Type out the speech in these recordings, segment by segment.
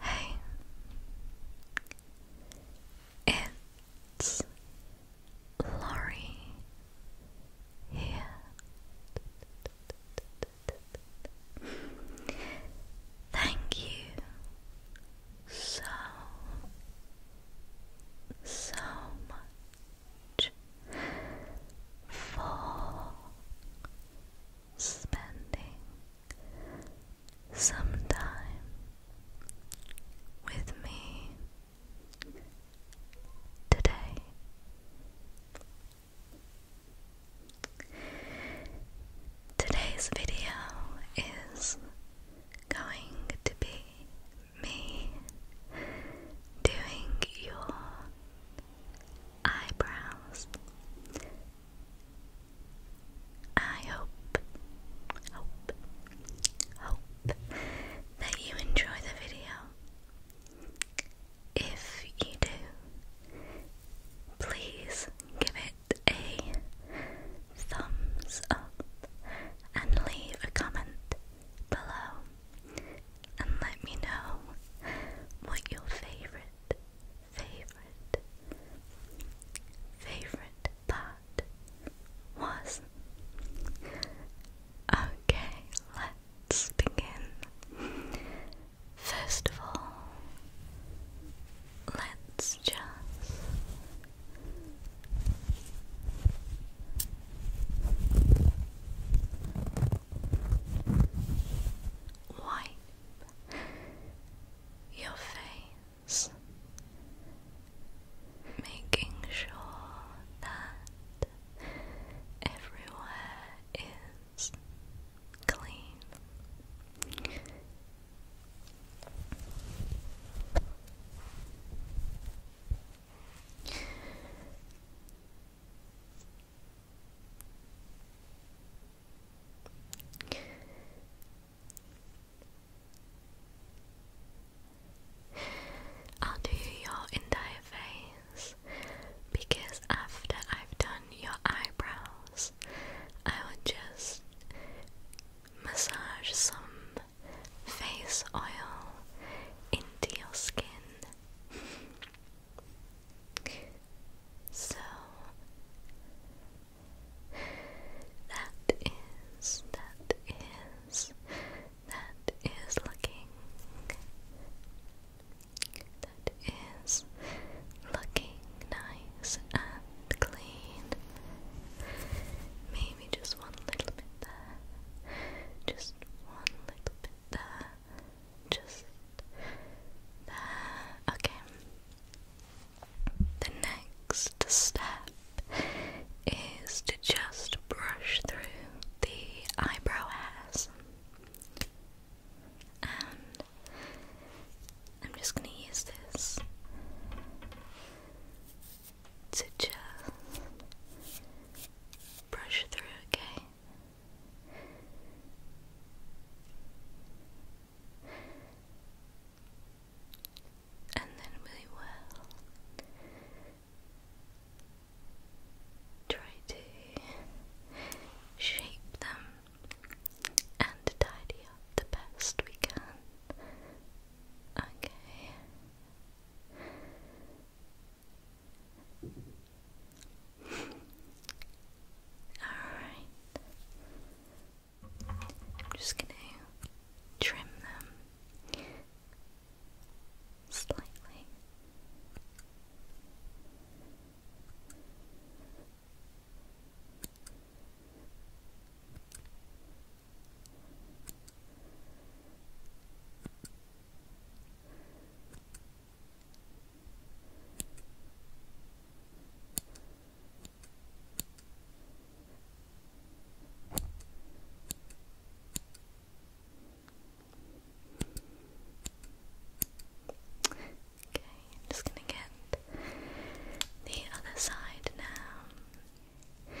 Hey, it's Laurie here. Thank you so, so much for spending sometime with me today. Today's video is going to be me doing your eyebrows I hope, hope, hope that you enjoy the video. If you do, please give it a thumbs up and leave a comment below and let me know what your favorite favorite, favorite part was. Okay, let's begin. First of all, let's just wipe your face, making sure that everywhere is clean. I'll do your entire face because after I've done your eyebrows, I will just massage some face oil into your skin. So that is, that is, that is looking, that is looking nice and clean. Maybe just one little bit there, just one little bit there just Okay. The next step is to just brush through the eyebrow hairs. And I'm just going to use this to just brush through, okay? And then we will try to shape them and tidy up the best we can. Okay. Alright. I'm just going to trim them slightly. Okay, i just going to get the other side now.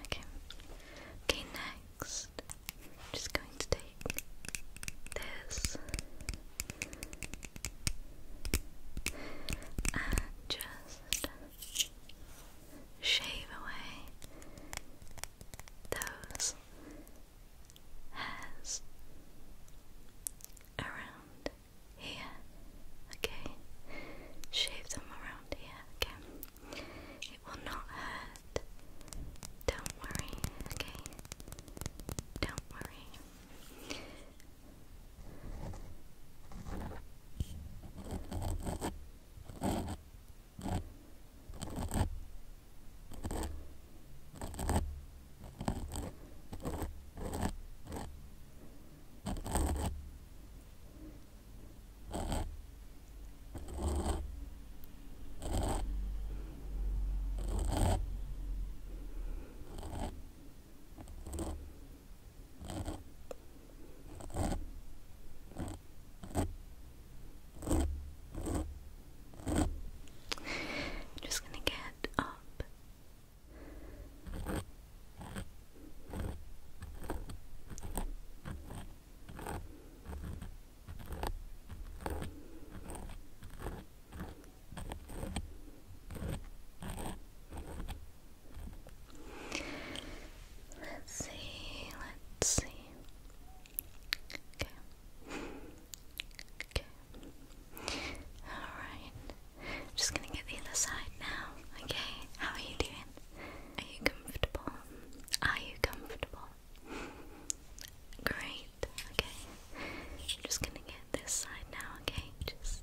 Okay. Okay, next, I'm just going to take this and just shave away those hairs around here, okay? Shave them around here, okay? It will not hurt. Don't worry, okay? Don't worry. I'm just gonna get up Let's see, let's see. Okay. Okay. Alright. Just gonna get the other side now, okay? How are you doing? Are you comfortable? Are you comfortable? Great, okay. just gonna get this side now, okay? Just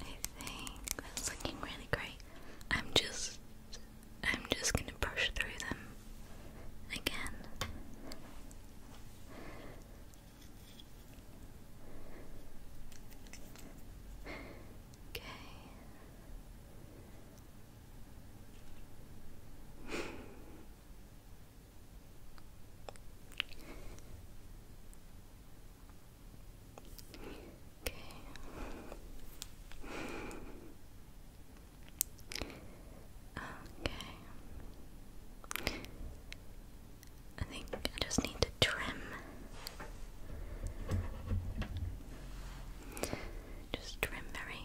I think that's looking really great. I'm just I'm just gonna push through them again. Okay. Okay. Okay. I think I just need to trim. Just trim very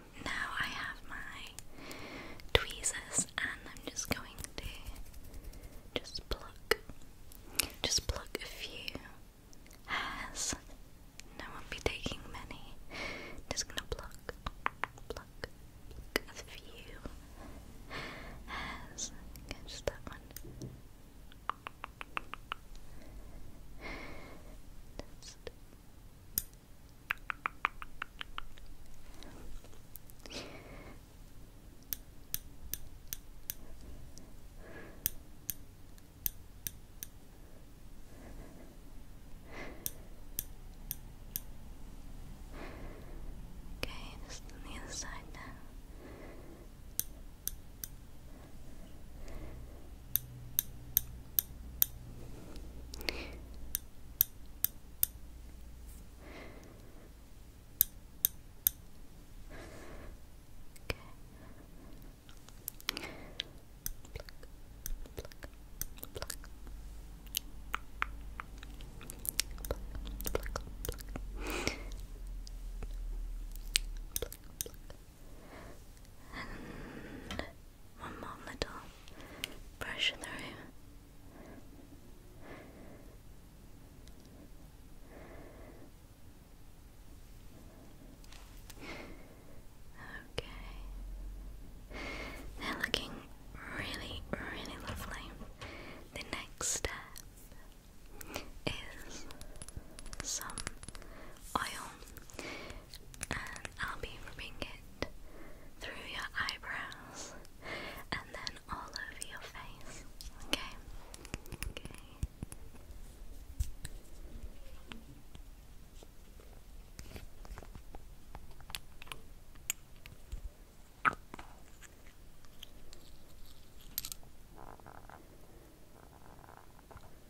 now I have my tweezers and I'm just going to just pluck, just pluck a few hairs. No, I won't be taking many. Just gonna pluck, pluck, pluck a few hairs. just that one. Okay, just on the other now. Okay. Pluck, one more little brush through. Okay. They're looking really, really lovely. The next step is some oil. I'll be rubbing it through your eyebrows and then all over your face. Okay.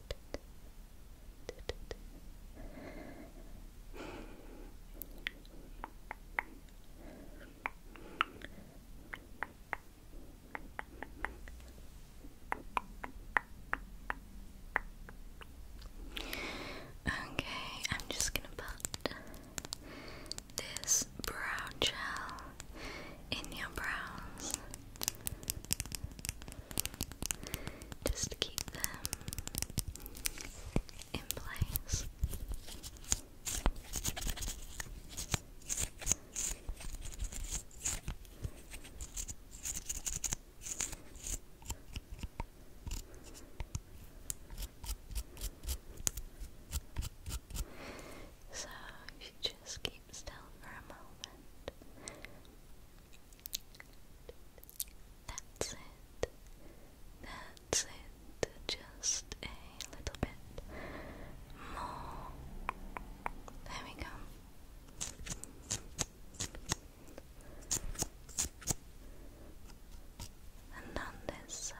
Okay, I'm just gonna put this brow gel in your brows. Just keep them in place. So, if you just keep still for a moment, that's it. That's it. Just a little bit more. There we go. And on this side.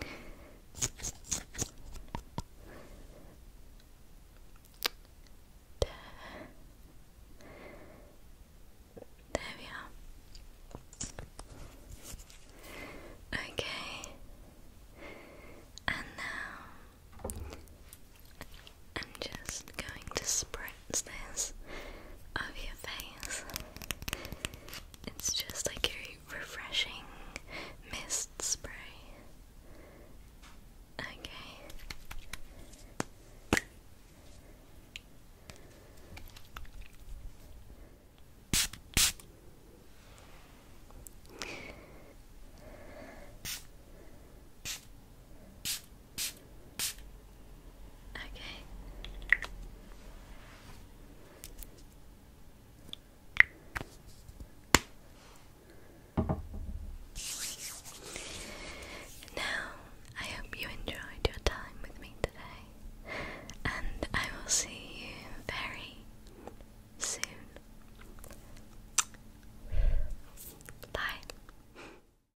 There. there we are. Okay. And now I'm just going to spray redness of your face. It's just like a refreshing mist spray. Okay. Okay. Now, I hope you enjoyed your time with me today, and I will see you very soon. Bye.